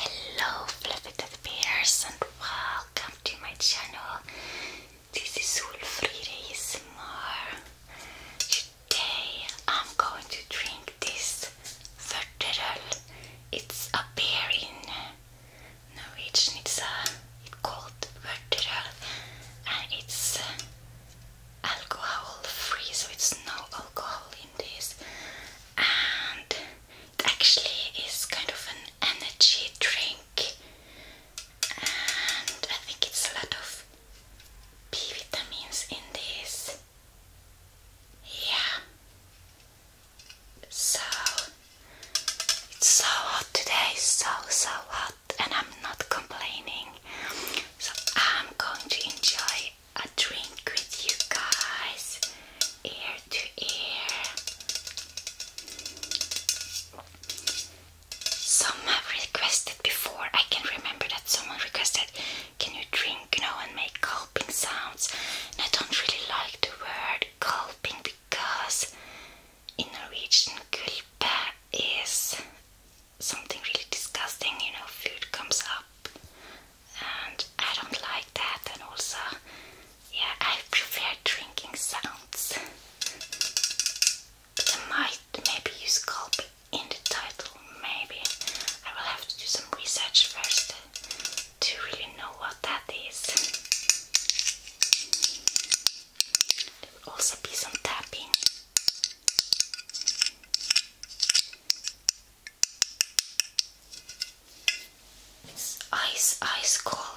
Hello, fluffy bears, and welcome to my channel. This is all days more. Today I'm going to drink this verderel. It's a beer in Norwegian. It's, uh, called verderel and it's uh, alcohol free, so it's no alcohol in this. And it actually is kind of an energy drink. And I think it's a lot of B vitamins in this. Yeah. So it's so hot today, so so hot, and I'm not complaining. So I'm going to enjoy a drink with you guys, ear to ear some have requested before. I can remember that someone requested, "Can you drink, you know, and make gulping sounds?" And I don't really like the word gulping because in a region "gulpe" is something really disgusting. You know, food comes up, and I don't like that. And also, yeah, I prefer drinking sounds might maybe use gulp in the title, maybe. I will have to do some research first to really know what that is. There will also be some tapping. It's ice, ice cold.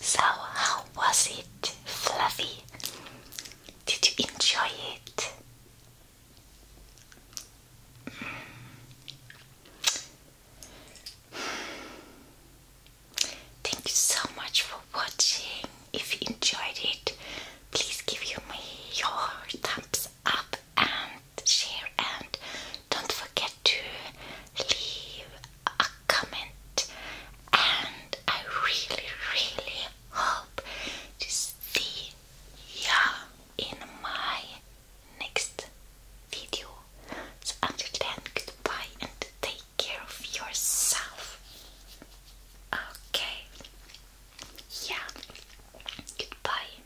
So, how was it, Fluffy? Did you enjoy it? Thank you so much for watching. If you enjoyed it, please give me your thumbs up and share and don't forget to leave a comment and I really really hope to see you in my next video. So until then goodbye and take care of yourself. Okay. Yeah. Goodbye.